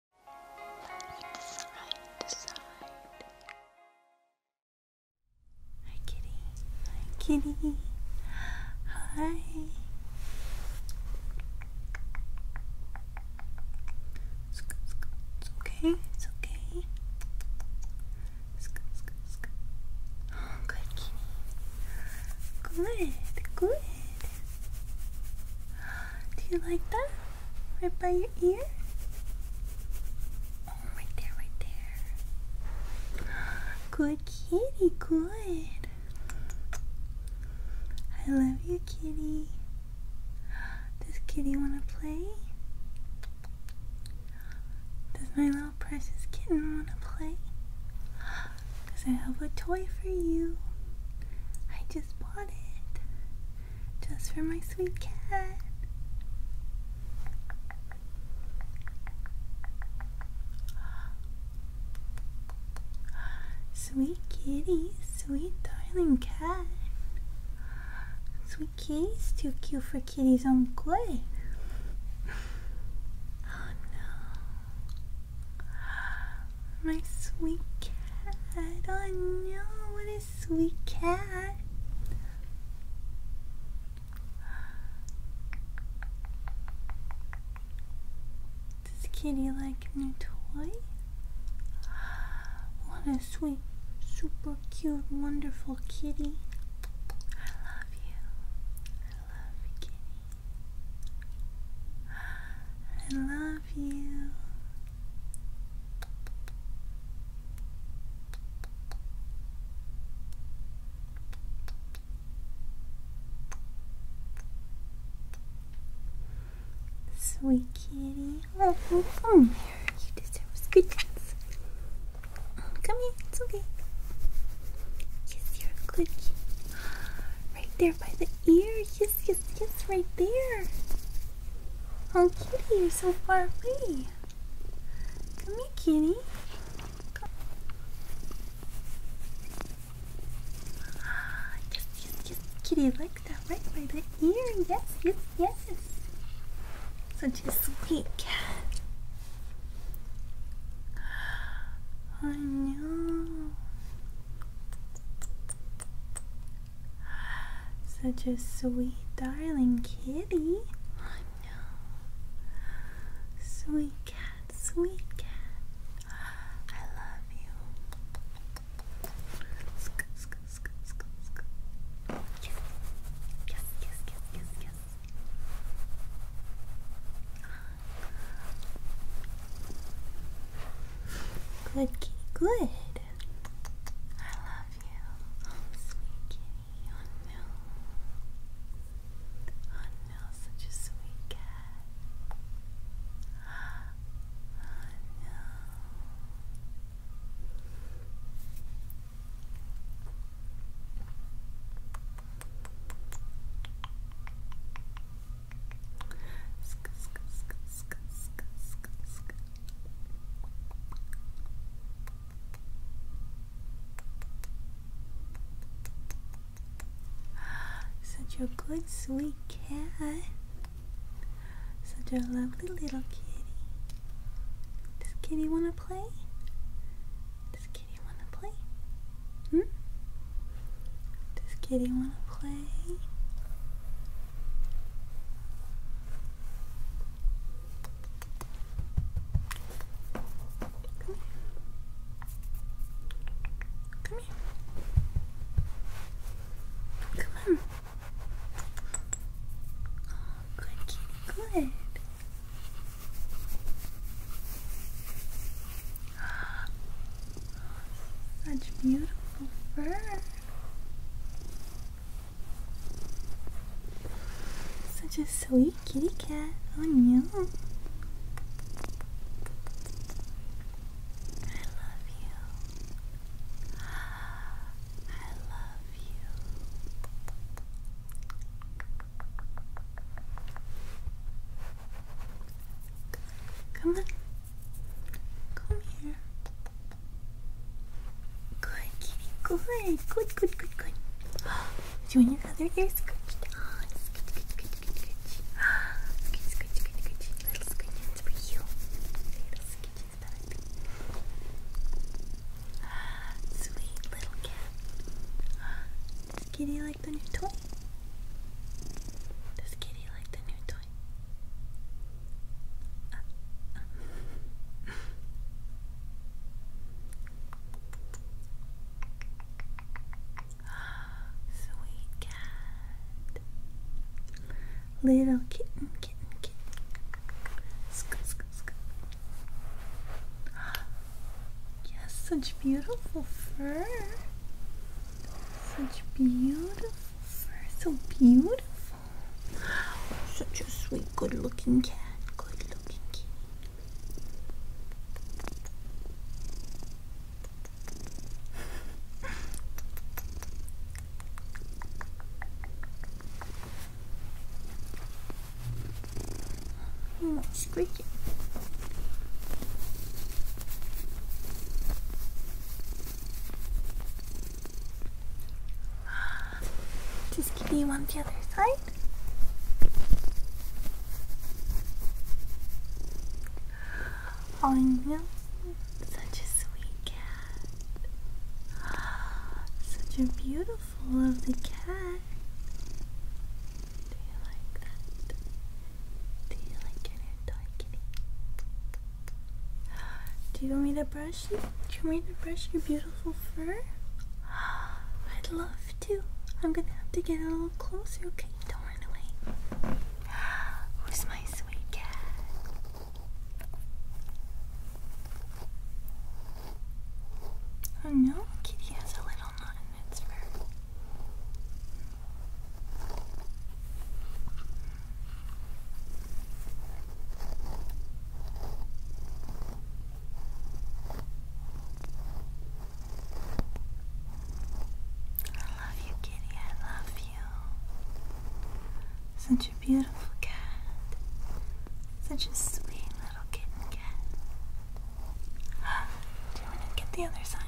Hi, kitty. Hi, kitty. Hi. It's okay. It's okay. Good kitty. Good. Good. Do you like that? Right by your ear? Oh, right there, right there. Good kitty, good. I love you, kitty. Does kitty want to play? Does my little precious kitten want to play? Because I have a toy for you. I just bought it. Just for my sweet cat. Sweet kitty, sweet darling cat. Sweet kitty's too cute for kitties on clay. Oh no. My sweet cat. Oh no, what a sweet cat. Does Kitty like new toy? What a sweet, super cute, wonderful kitty. I love you. I love kitty. I love you. Sweet kitty. Oh, oh, oh. You deserve goodness. Come here, it's okay. Yes, you're a good kitty. Right there by the ear. Yes, yes, yes, right there. Oh, kitty, you're so far away. Come here, kitty. Ah, yes, yes, yes, kitty, likes that, right by the ear. Yes, yes, yes. Such a sweet cat. I know. Such a sweet, darling kitty. I know. Sweet cat, sweet cat. I love you. Sk sk sk sk sk. Yes. Yes, yes, yes, yes, Good kitty, good. I love you. Oh, sweet kitty. Oh no. Oh no, such a sweet cat. Oh no. Such a good sweet cat. Such a lovely little kitty. Does kitty wanna play? kitty wanna play? Hmm? Does kitty wanna play? Come here. Come on. Oh, good kitty, good. Such beautiful fur. Such a sweet kitty cat. Oh yeah. I love you. I love you. Come on. Come here. Good kitty. Good. Good, good, good, good. Do you want your other ear scratched? Oh, scratch, scratch, scratch, scratch. Ah, scratch, scratch, scratch, scratch. Little scratches for you. Little scratches for Ah, sweet little cat. Does kitty like the new toy? Does kitty like the new toy? Uh, Sweet cat. Little kitten, kitten, kitten. Scoot, scoot, scoot. Yes, such beautiful fur. Such beautiful fur. So beautiful. Such a sweet, good looking cat. Good looking cat. Oh, squeaking. Just give you on the other side. Oh, you such a sweet cat. Such a beautiful lovely cat. Do you like that? Do you like your hair kitty? Do you want me to brush? you? Do you want me to brush your beautiful fur? I'd love to. I'm gonna have to get a little closer, okay? Don't run away. Who's my sweet cat? Oh no, kitty has a little knot in its fur. I love you, kitty. I love you. Such a beautiful cat. Such a sweet little kitten cat. Do you want to get the other side?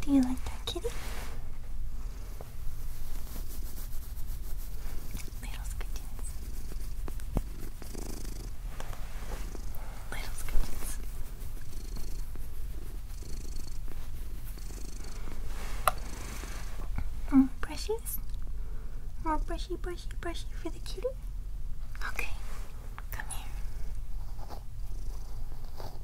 Do you like that kitty? Little scooches. Little scooches. More brushes? More brushy, brushy, brushy for the kitty? Okay, come here.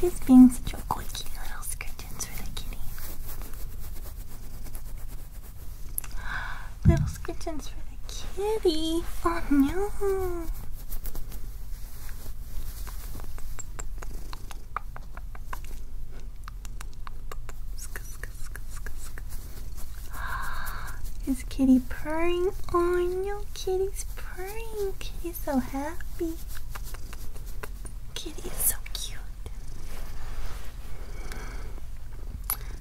He's mm. being such a quirky little Skirtins for the kitty. Little Skirtins for the kitty. Oh no. Is kitty purring? Oh no, kitty's purring. Kitty's so happy. Kitty is so cute.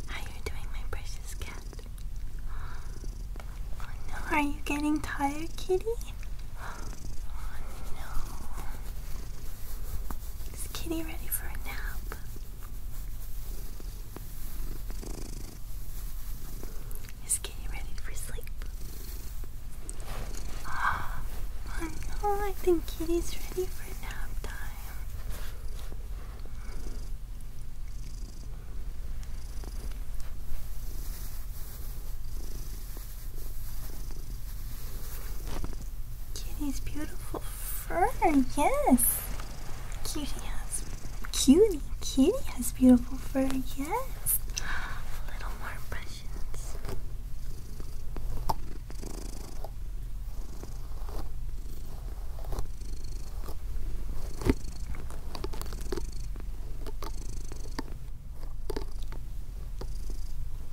How are you doing, my precious cat? Oh no, are you getting tired, kitty? Oh, is Kitty ready for a nap? Is Kitty ready for sleep? Oh, oh no, I think Kitty's ready for nap time. Kitty's beautiful fur, yes. Cutie has, cutie, kitty has beautiful fur, yes. A little more impressions.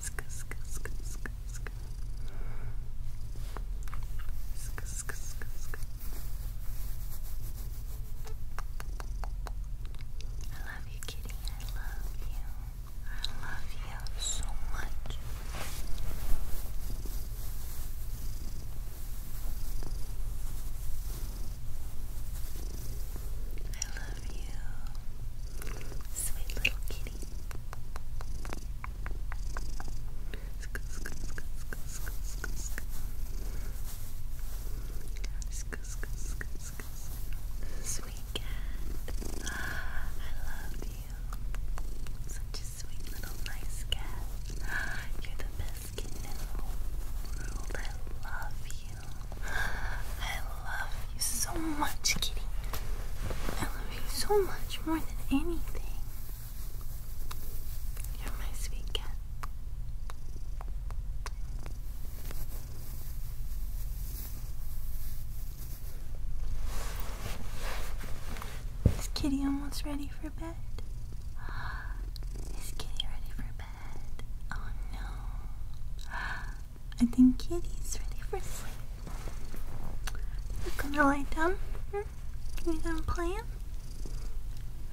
sk I love you kitty, I love you I love you so much I love you. Sweet little kitty. Sweet cat. Ah, I love you. Such a sweet little nice cat. You're the best kitten in the whole world. I love you. I love you so much, kitty. I love you so much more than anything. You're my sweet cat. Is kitty almost ready for bed? Is kitty ready for bed? Oh no. I think Kitty's ready for sleep. You're gonna lie down? Hmm? You done playing?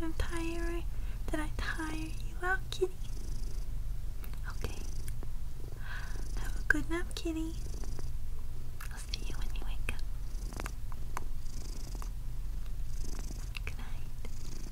I'm tired. Did I tire you out, Kitty? Okay. Have a good nap, Kitty. I'll see you when you wake up. Good night.